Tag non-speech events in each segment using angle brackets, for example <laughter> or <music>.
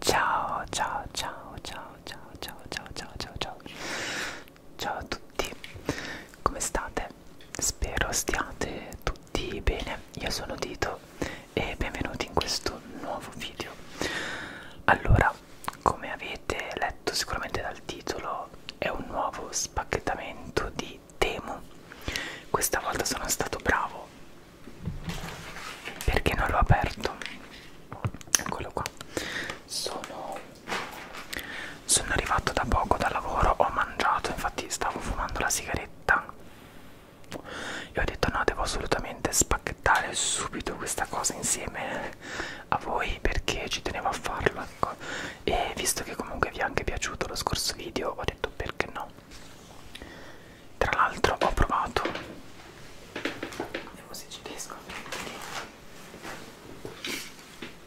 Ciao ciao ciao ciao ciao ciao ciao ciao ciao ciao Ciao a tutti, come state? Spero stiate tutti bene, io sono Dito e benvenuti in questo nuovo video Allora, come avete letto sicuramente dal titolo è un nuovo spacchettamento di direi temo questa volta sono stato bravo perché non l'ho aperto eccolo qua sono, sono arrivato da poco dal lavoro ho mangiato infatti stavo fumando la sigaretta e ho detto no devo assolutamente spacchettare subito questa cosa insieme a voi perché ci tenevo a farlo ecco e visto che comunque vi è anche piaciuto lo scorso video ho detto perché no tra l'altro ho provato vediamo se ci riesco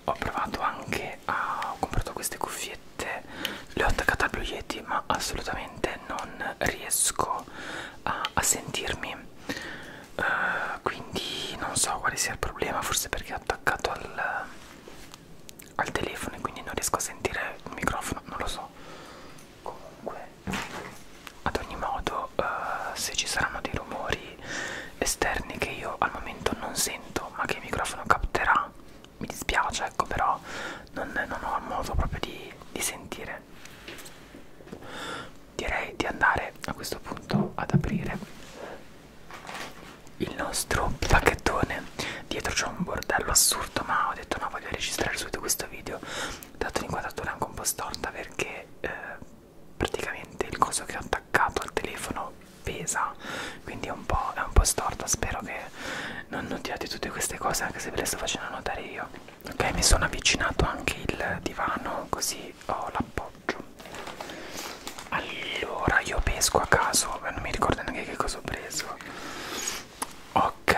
ho provato anche a ho comprato queste cuffiette le ho attaccate al Blue Yeti ma assolutamente non riesco a, a sentirmi uh, quindi non so quale sia il problema forse perché ho attaccato al al telefono e quindi non riesco a sentire il microfono, non lo so. Comunque, ad ogni modo, uh, se ci saranno dei rumori esterni che io al momento non sento, ma che il microfono capterà, mi dispiace, ecco, però non, non ho modo proprio di, di sentire. Direi di andare a questo punto ad aprire il nostro pacchettone dietro c'è un bordello assurdo ma ho detto no voglio registrare subito questo video dato l'inquadratura anche un po' storta perché eh, praticamente il coso che ho attaccato al telefono pesa quindi è un po', è un po storta spero che non notiate tutte queste cose anche se ve le sto facendo notare io ok mi sono avvicinato anche il divano così ho l'appoggio allora io pesco a caso non mi ricordo neanche che cosa ho preso ok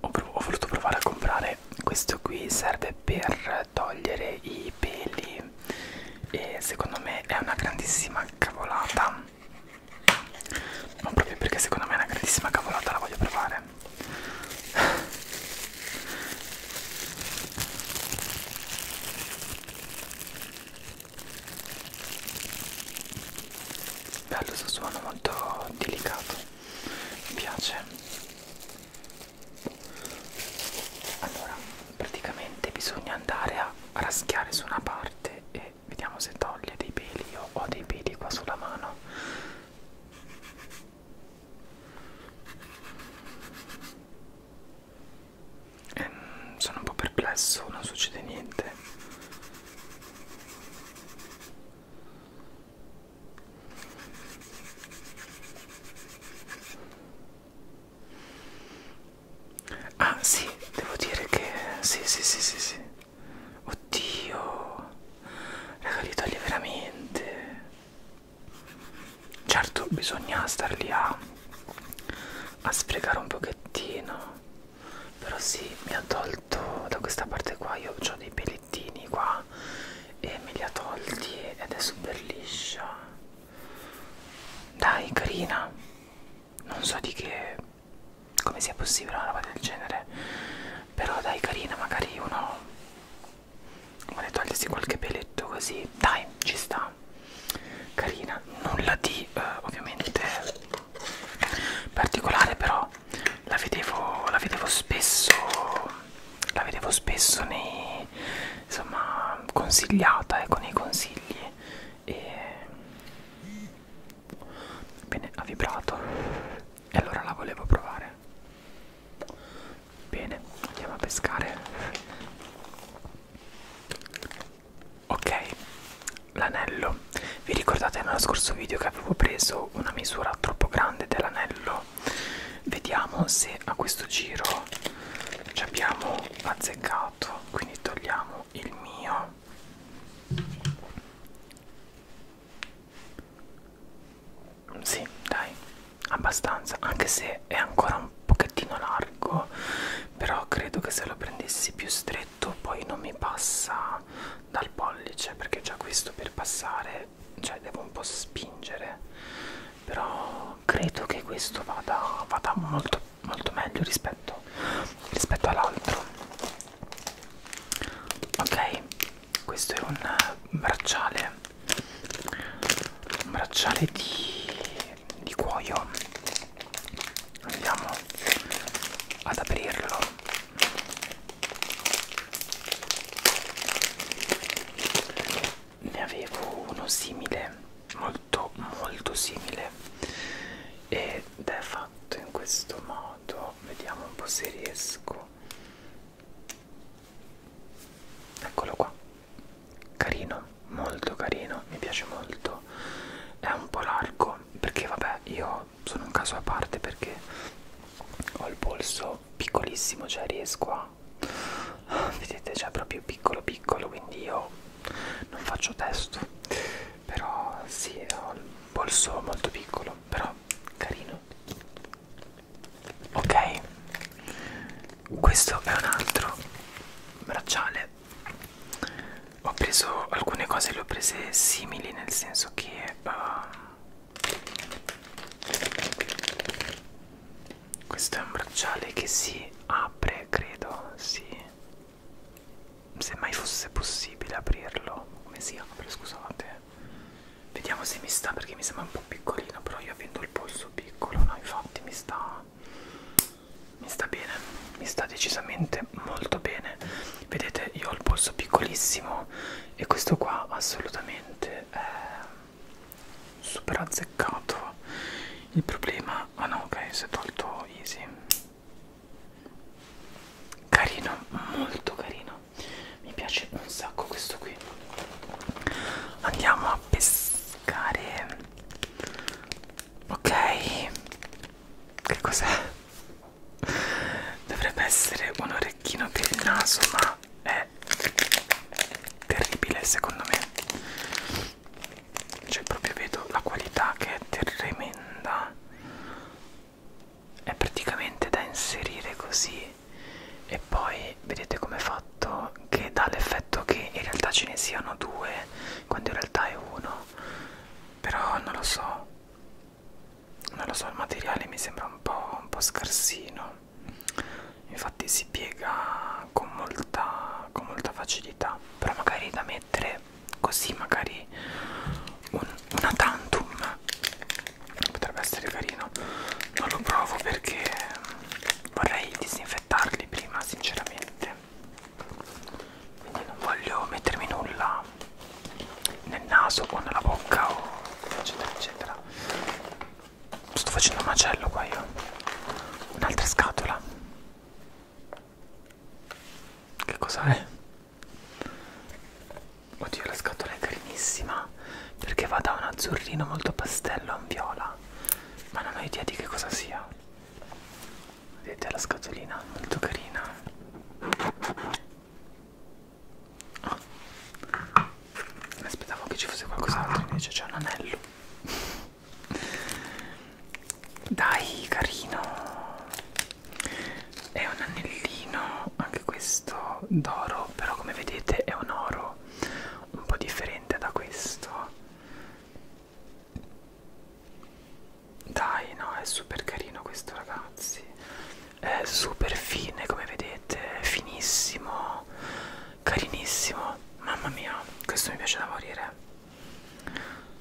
ho, ho voluto provare a comprare questo qui serve per togliere i peli e secondo me è una grandissima cavolata ma proprio perché secondo me è una grandissima cavolata la voglio provare bello questo suono molto delicato mi piace allora praticamente bisogna andare a raschiare su una parte e vediamo se toglie dei peli io ho dei peli qua sulla mano ehm, sono un po' perplesso, non succede niente. Ah sì, devo dire che sì, sì, sì, sì, sì. Oddio, raga, li toglie veramente certo bisogna star lì a, a sfregare un pochettino però sì mi ha tolto da questa parte qua io ho dei pelettini qua e me li ha tolti ed è super liscia dai carina non so di che come sia possibile una roba del genere però dai carina magari uno vuole togliersi qualche peletto così dai ci sta carina nulla di eh, ovviamente particolare però la vedevo la vedevo spesso la vedevo spesso nei insomma consigliata ecco nei consigli e bene ha vibrato e allora la volevo provare bene andiamo a pescare ok l'anello vi ricordate nello scorso video che avevo preso una misura troppo grande dell'anello vediamo se a questo giro ci abbiamo azzeccato quindi togliamo il mio sì dai abbastanza anche se è ancora un un pochettino largo però credo che se lo prendessi più stretto poi non mi passa dal pollice perché già questo per passare cioè devo un po' spingere però credo che questo vada, vada molto molto meglio rispetto, rispetto all'altro ok questo è un bracciale un bracciale di di cuoio andiamo ad aprirlo ne avevo uno simile molto molto simile ed è fatto in questo modo vediamo un po' se riesco eccolo qua carino molto carino mi piace molto è un po' largo perché vabbè io sono un caso a parte perché ho il polso piccolissimo cioè riesco a <laughs> vedete cioè proprio piccolo piccolo quindi io non faccio testo però sì ho il polso molto piccolo però carino ok questo è un altro bracciale ho preso alcune cose le ho prese simili nel senso che uh, questo è un bracciale che si apre credo sì se mai fosse possibile aprirlo come si apre scusate vediamo se mi sta perché mi sembra un po' piccolino però io avendo il polso piccolo no infatti mi sta mi sta bene, mi sta decisamente molto bene. Vedete, io ho il polso piccolissimo e questo qua assolutamente è super azzeccato. Il problema, ah no, ok, si è tolto easy. Carino, molto carino. Mi piace un sacco questo qui. Andiamo a pescare ok che cos'è? dovrebbe essere un orecchino per il naso ma è terribile secondo me cioè proprio vedo la qualità che è tremenda è praticamente da inserire così e poi e vedete com'è fatto che dà l'effetto che in realtà ce ne siano due quando in realtà è uno però non lo so non lo so il materiale mi sembra un po', un po scarsino infatti si piega con molta, con molta facilità però magari da mettere così magari un, una tantum potrebbe essere carino non lo provo perché vorrei disinfettare affettarli prima sinceramente quindi non voglio mettermi nulla nel naso o nella bocca o eccetera eccetera sto facendo un macello qua io un'altra scatola che cos'è? oddio la scatola è carinissima perché va da un azzurrino molto pastello a un viola ma non ho idea di che cosa sia vedete la scatolina molto carina oh. aspettavo che ci fosse qualcos'altro invece c'è un anello dai carino è un anellino anche questo d'oro però come vedete è un oro un po' differente veramente da questo dai no è super carino questo ragazzi è super fine come vedete finissimo carinissimo mamma mia questo mi piace da morire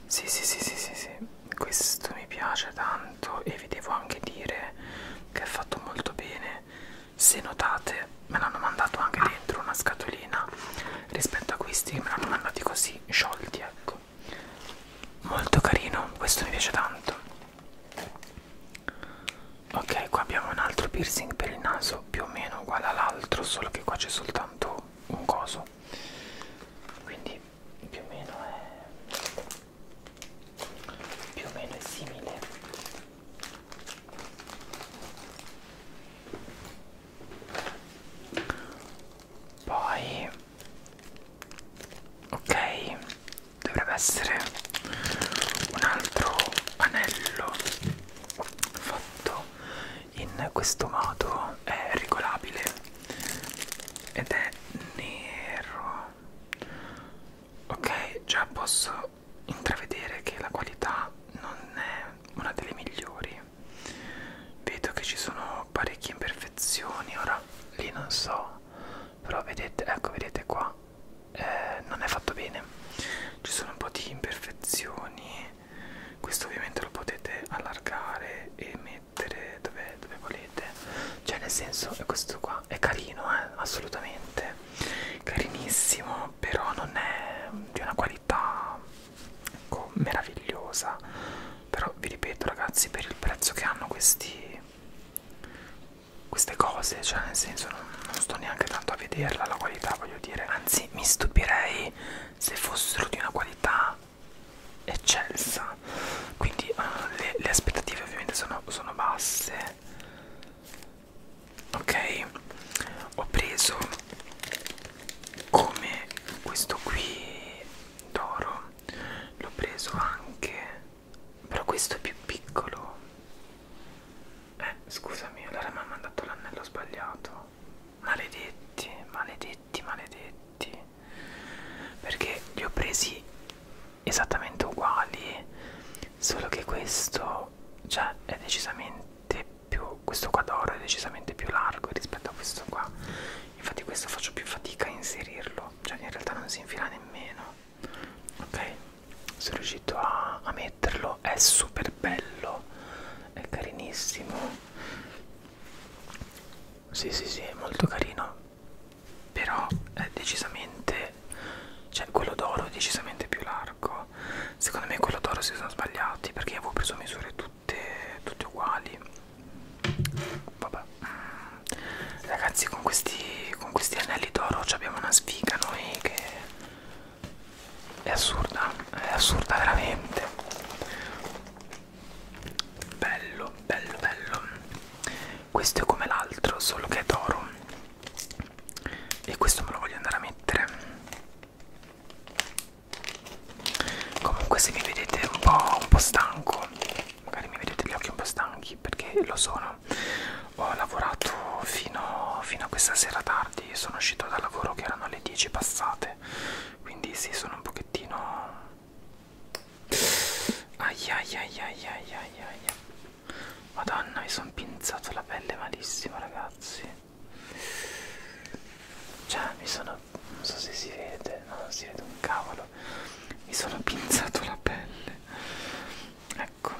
sì, sì, sì, sì, sì, sì, questo mi piace tanto e vi devo anche dire che è fatto molto bene se notate me l'hanno mandato anche dentro una scatolina rispetto a questi me l'hanno mandati così sciolti ecco molto carino questo mi piace tanto ok qua abbiamo un altro piercing per il naso più o meno uguale all'altro solo che qua c'è soltanto un coso quindi più o meno è più o meno è simile poi ok dovrebbe essere un altro anello fatto in questo modo è regolabile ed è nero ok già posso intravedere che la qualità non è una delle migliori vedo che ci sono parecchie imperfezioni ora lì non so però vedete ecco vedete qua eh, non è fatto bene ci sono un po' di imperfezioni questo ovviamente lo potete allargare e mettere dove, dove volete cioè nel senso questo qua è carino eh? assolutamente carinissimo però non è di una qualità ecco, meravigliosa però vi ripeto ragazzi per il prezzo che hanno questi queste cose cioè nel senso non, non sto neanche tanto a vederla la qualità voglio dire anzi mi stupirei se fossero di una qualità eccelsa quindi uh, le, le aspettative ovviamente sono, sono basse ok ho preso come questo qui d'oro l'ho preso anche però questo è più piccolo eh scusami allora mi ha mandato l'anello sbagliato maledetti maledetti maledetti perché li ho presi esattamente uguali solo che questo questo cioè è decisamente più questo qua d'oro è decisamente più largo rispetto a questo qua infatti questo faccio più fatica a inserirlo cioè in realtà non si infila nemmeno ok sono riuscito a, a metterlo è super bello è carinissimo sì sì sì è molto carino però è decisamente che cioè quello d'oro è decisamente più largo secondo me quello d'oro si sono sbagliati perché avevo preso misure tutte, tutte uguali vabbè ragazzi con questi, con questi anelli d'oro abbiamo una sfiga noi che è assurda è assurda veramente bello bello bello questo è come l'altro solo che è d'oro e questo me lo voglio andare a mettere comunque se mi vedete un po', un po stanco magari mi vedete gli occhi un po' stanchi perché lo sono ho lavorato fino, fino a questa sera tardi sono uscito dal lavoro che erano le 10 passate quindi sì sono un pochettino ai ai ai ai ai ai ai Madonna, mi sono pinzato la pelle malissimo, ragazzi. Cioè, mi sono. non so se si vede, no, non si vede un cavolo. Mi sono pinzato la pelle. Ecco,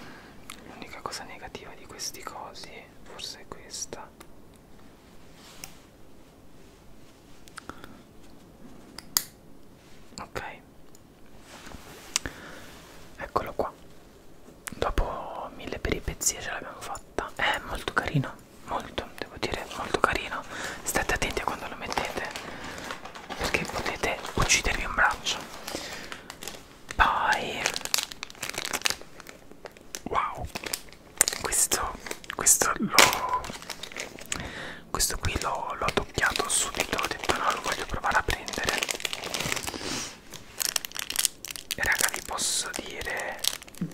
l'unica cosa negativa di questi cosi, forse è questa. Ok, eccolo qua dopo mille peripezie ce l'abbiamo fatta è molto carino molto devo dire molto carino state attenti a quando lo mettete perché potete uccidervi un braccio poi wow questo questo l'ho questo qui l'ho toccato subito ho detto no lo voglio provare a prendere raga vi posso dire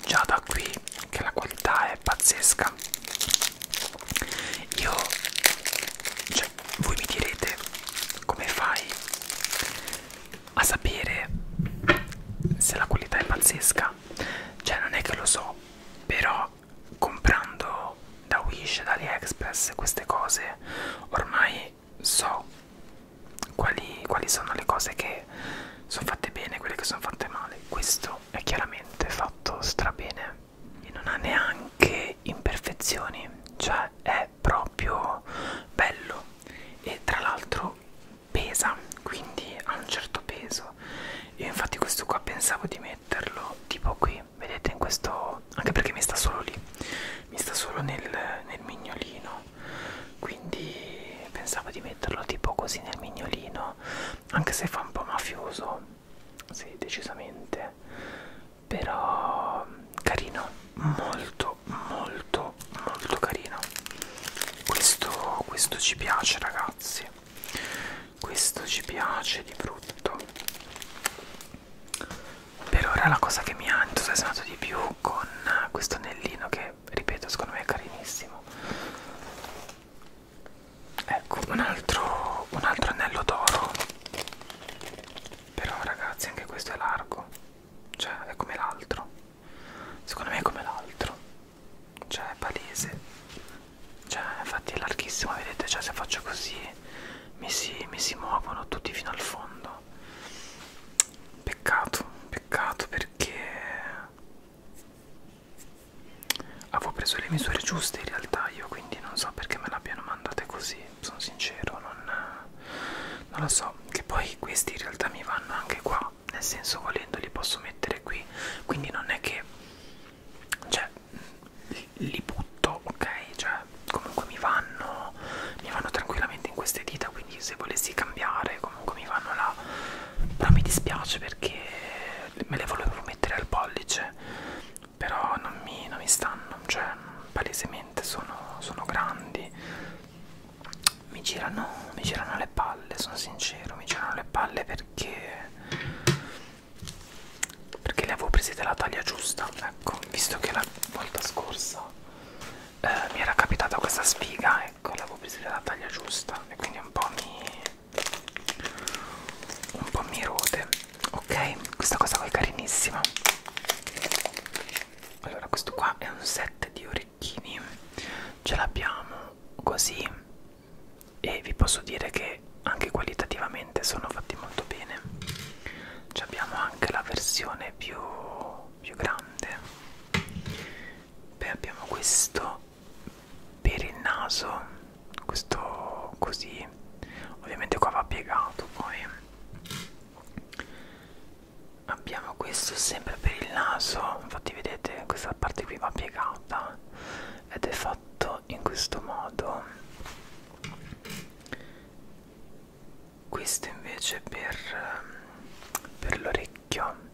già da qui che la qualità è pazzesca io cioè voi mi direte come fai a sapere se la qualità è pazzesca cioè non è che lo so però comprando da Wish da AliExpress queste cose ormai so quali, quali sono le cose che sono fatte bene e quelle che sono fatte male. Questo è chiaramente fatto strabene e non ha neanche imperfezioni, cioè è proprio bello e tra l'altro pesa, quindi ha un certo peso. Io infatti questo qua pensavo di metterlo tipo qui lì vedete in questo anche perché mi sta solo lì mi sta solo nel, nel mignolino quindi pensavo di metterlo tipo così nel mignolino anche se fa un po' mafioso sì decisamente però carino molto molto molto carino questo, questo ci piace ragazzi questo ci piace di brutto per ora la cosa che mi ha entusiasmato di più con questo anellino che ripeto secondo me è carinissimo ecco un altro, un altro anello d'oro però ragazzi anche questo è largo cioè è come l'altro secondo me è come l'altro cioè è palese cioè infatti è larghissimo vedete cioè se faccio così mi si, mi si muovono tutti fino al fondo peccato peccato perché avevo preso le misure giuste in realtà io quindi non so perché me l'abbiano mandate così sono sincero non, non lo so che poi questi in realtà mi vanno anche qua nel senso volendo li posso mettere qui quindi non è che cioè li butto ok cioè comunque mi vanno mi vanno tranquillamente in queste dita quindi se volessi cambiare comunque mi vanno là però mi dispiace perché me le volevo mettere al pollice però non mi, non mi stanno cioè palesemente sono, sono grandi mi girano mi girano le palle sono sincero mi girano le palle perché perché le avevo prese della taglia giusta ecco visto che la volta scorsa eh, mi era capitata questa sfiga ecco le avevo prese della taglia giusta e quindi un po' mi un po' mi rode ok questa cosa qua è carinissima allora questo qua è un set di orecchini ce l'abbiamo così e vi posso dire che anche qualitativamente sono fatti molto bene ci cioè, abbiamo anche la versione più, più grande. Poi abbiamo questo per il naso, questo così. Ovviamente qua va piegato poi. Abbiamo questo sempre per il naso, infatti vedete questa parte qui va piegata ed è fatto in questo modo questo invece per, ehm, per l'orecchio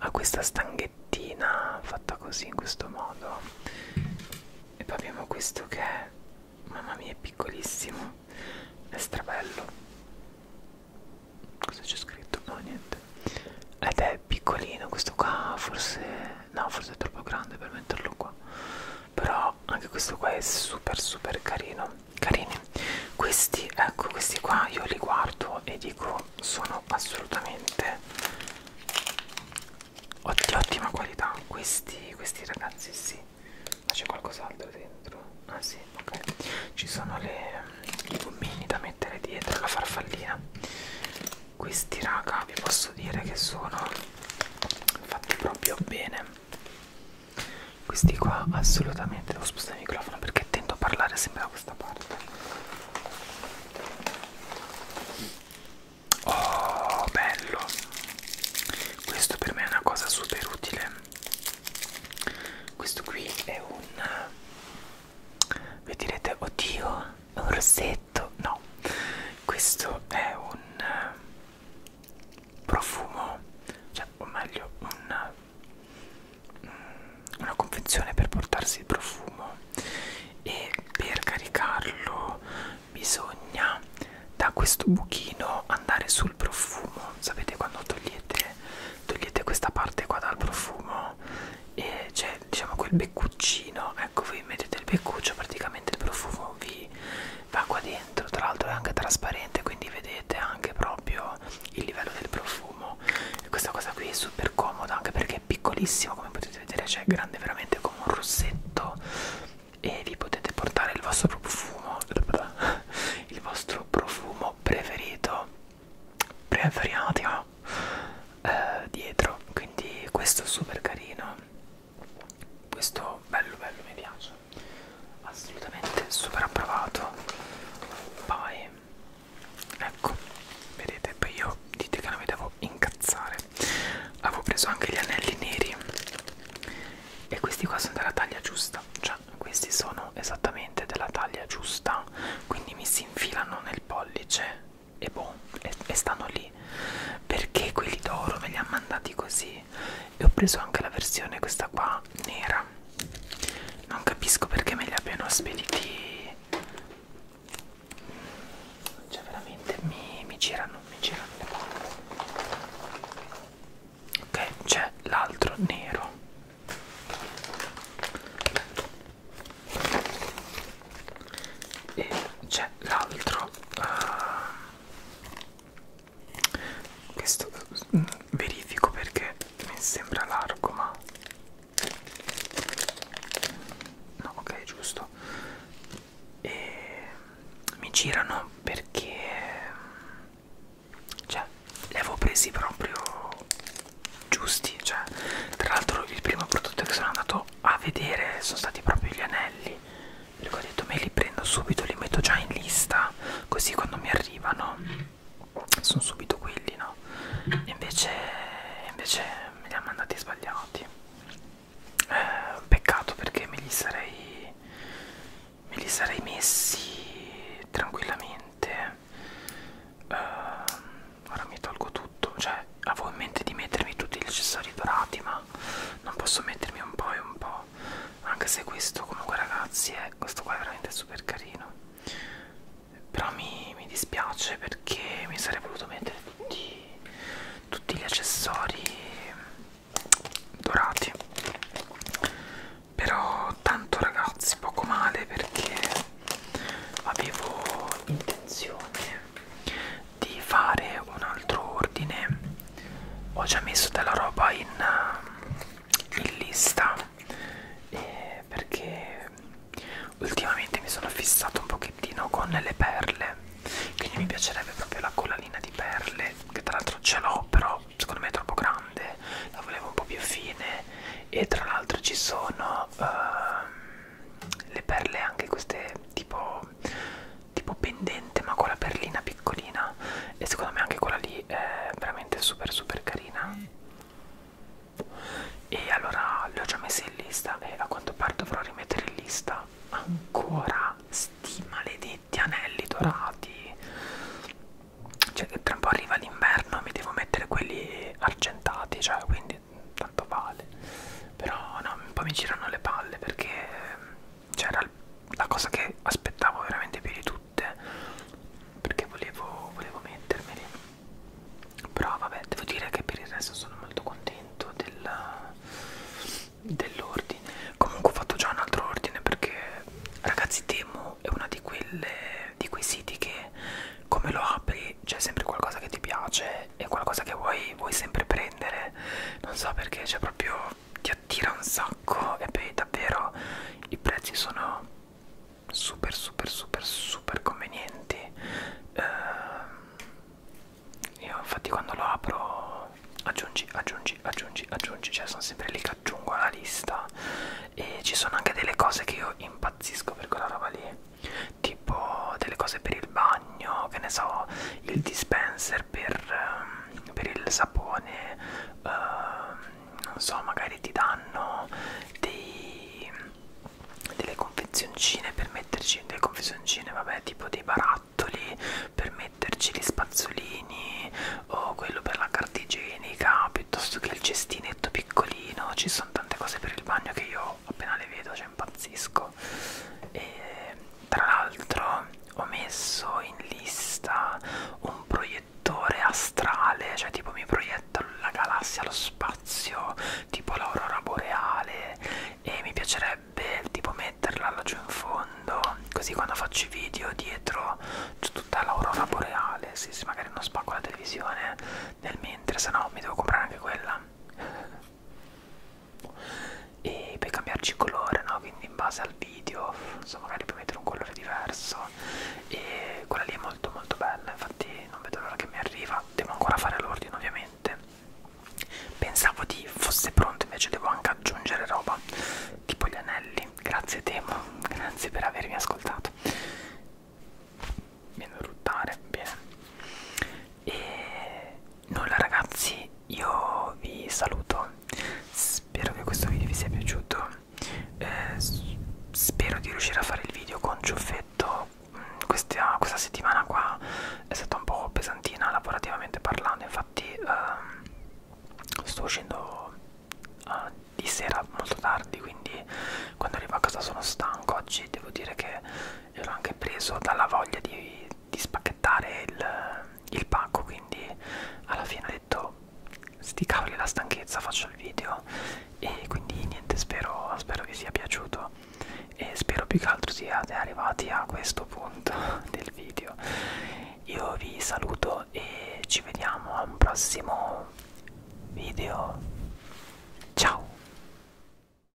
ha questa stanghettina fatta così in questo modo e poi abbiamo questo che è mamma mia è piccolissimo è strabello cosa c'è scritto? no niente ed è piccolino questo qua forse no forse è troppo grande per metterlo qua però però anche questo qua è super super carino carini questi ecco questi qua io li guardo e dico sono assolutamente di ottima qualità questi questi ragazzi sì ma c'è qualcos'altro dentro ah sì ok ci sono le, mm, i gommini da mettere dietro la farfallina questi raga vi posso dire che sono fatti proprio bene questi qua assolutamente devo spostare il microfono perché tento a parlare sempre da questa parte oh bello questo per me è una cosa super utile questo qui è un eh, vi direte oddio è un rossetto letto no questo è un eh, profumo cioè o meglio un, mm, una confezione per portarsi il profumo e per caricarlo bisogna da questo buchino andare sul profumo sapete quando togliete togliete questa parte qua dal profumo e c'è diciamo quel beccuccino ecco voi mettete il beccuccio praticamente il profumo vi va qua dentro tra l'altro è anche trasparente quindi vedete anche proprio il livello del profumo e questa cosa qui è super comoda anche perché è piccolissimo come potete vedere cioè è grande veramente come un rossetto e vi potete portare il vostro profumo <laughs> il vostro profumo preferito preferito eh, dietro quindi questo è super carino questo bello bello mi piace assolutamente super approvato poi ecco vedete poi io dite che non mi devo incazzare avevo preso anche gli anelli neri e questi qua sono della taglia giusta cioè questi sono esattamente della taglia giusta quindi mi si infilano nel pollice e boh e, e stanno lì quelli perché quelli d'oro me li ha mandati così e ho preso anche la versione questa qua nera non capisco perché me li abbiano spediti cioè veramente mi, mi girano mi girano le palle ok c'è l'altro nero e c'è l'altro uh, questo mm, verifico perché mi sembra largo, ma no, ok, giusto. E mm, mi girano perché mm, cioè li avevo presi proprio giusti cioè tra l'altro il primo prodotto che sono andato a vedere sono stati proprio gli anelli perché ho detto me li prendo subito li metto già in lista così quando mi arrivano sono subito quelli no invece invece me li ha mandati sbagliati eh, peccato perché me li sarei me li sarei messi tranquillamente eh, ora mi tolgo tutto cioè avevo in mente di mettermi tutti gli accessori dorati ma ma non posso mettermi un po' e un po'. Anche se questo, comunque, ragazzi, è questo qua è veramente super carino. Però mi, mi dispiace perché mi sarei voluto mettere tutti, tutti gli accessori dorati. Però tanto ragazzi, poco male perché avevo intenzione di fare un altro ordine ho già messo della roba in, ehm, in lista eh, perché ultimamente mi sono fissato un pochettino con le perle quindi mi piacerebbe proprio la collanina di perle che tra l'altro ce l'ho però secondo me è troppo grande la volevo un po' più fine e tra l'altro ci sono uh, le perle anche queste tipo tipo pendente ma con la perlina piccolina e secondo me anche quella lì è veramente super super carina e allora le ho già messe in lista e a quanto pare dovrò rimettere in lista ancora sti maledetti anelli dorati cioè tra un po' arriva l'inverno e mi devo mettere quelli argentati cioè quindi tanto vale però no, un po' mi girano le palle perché c'era la cosa che aspettavo veramente più di tutte perché volevo, volevo mettermeli però vabbè devo dire che per il resto sono molto contento dell'ordine dell comunque ho fatto già un altro ordine perché ragazzi Temo è uno di, di quei siti che come lo apri c'è sempre qualcosa che ti piace è qualcosa che vuoi, vuoi sempre prendere non so perché cioè proprio ti attira un sacco e poi davvero i prezzi sono super super super super convenienti eh, io infatti quando lo apro aggiungi aggiungi aggiungi aggiungi cioè sono sempre lì che aggiungo alla lista e ci sono anche delle cose che io impazzisco per quella roba lì tipo delle cose per il bagno, che ne so, il dispenser per, ehm, per il sapone, uh, non so, magari ti danno dei, delle confezioncine per metterci, delle confezioncine, vabbè, tipo dei barattoli per metterci gli spazzolini o quello per la carta igienica piuttosto che il cestinetto piccolino, ci sono tante cose per il bagno che io appena le vedo, cioè impazzisco e tra l'altro ho messo in lista un proiettore astrale cioè tipo mi proietta la galassia allo spazio tipo l'aurora boreale e mi piacerebbe tipo metterla laggiù in fondo così quando faccio i video dietro c'è tutta l'aurora boreale sì sì magari non spacco la televisione nel mentre se no mi devo comprare anche quella e puoi cambiarci colore no? quindi in base al video insomma magari puoi mettere un colore diverso e quella lì è molto molto bella infatti non vedo l'ora che mi arriva devo ancora fare l'ordine ovviamente pensavo di fosse pronto invece devo anche aggiungere roba tipo gli anelli grazie Temo grazie per avermi ascoltato viene a ruttare bene e nulla ragazzi io vi saluto spero che questo video vi sia piaciuto eh, spero di riuscire a fare il video con ciuffetto mm, questa, questa settimana qua è stata un po' pesantina lavorativamente parlando infatti ehm, sto uscendo eh, di sera molto tardi quindi quando arrivo a casa sono stanco oggi devo dire che ero anche preso dalla voglia di, di spacchettare il, il pacco quindi alla fine ho detto sti cavoli la stanchezza faccio il video e quindi niente spero, spero vi sia piaciuto e spero più che altro siate arrivati a questo punto <laughs> del video io vi saluto e ci vediamo a un prossimo video ciao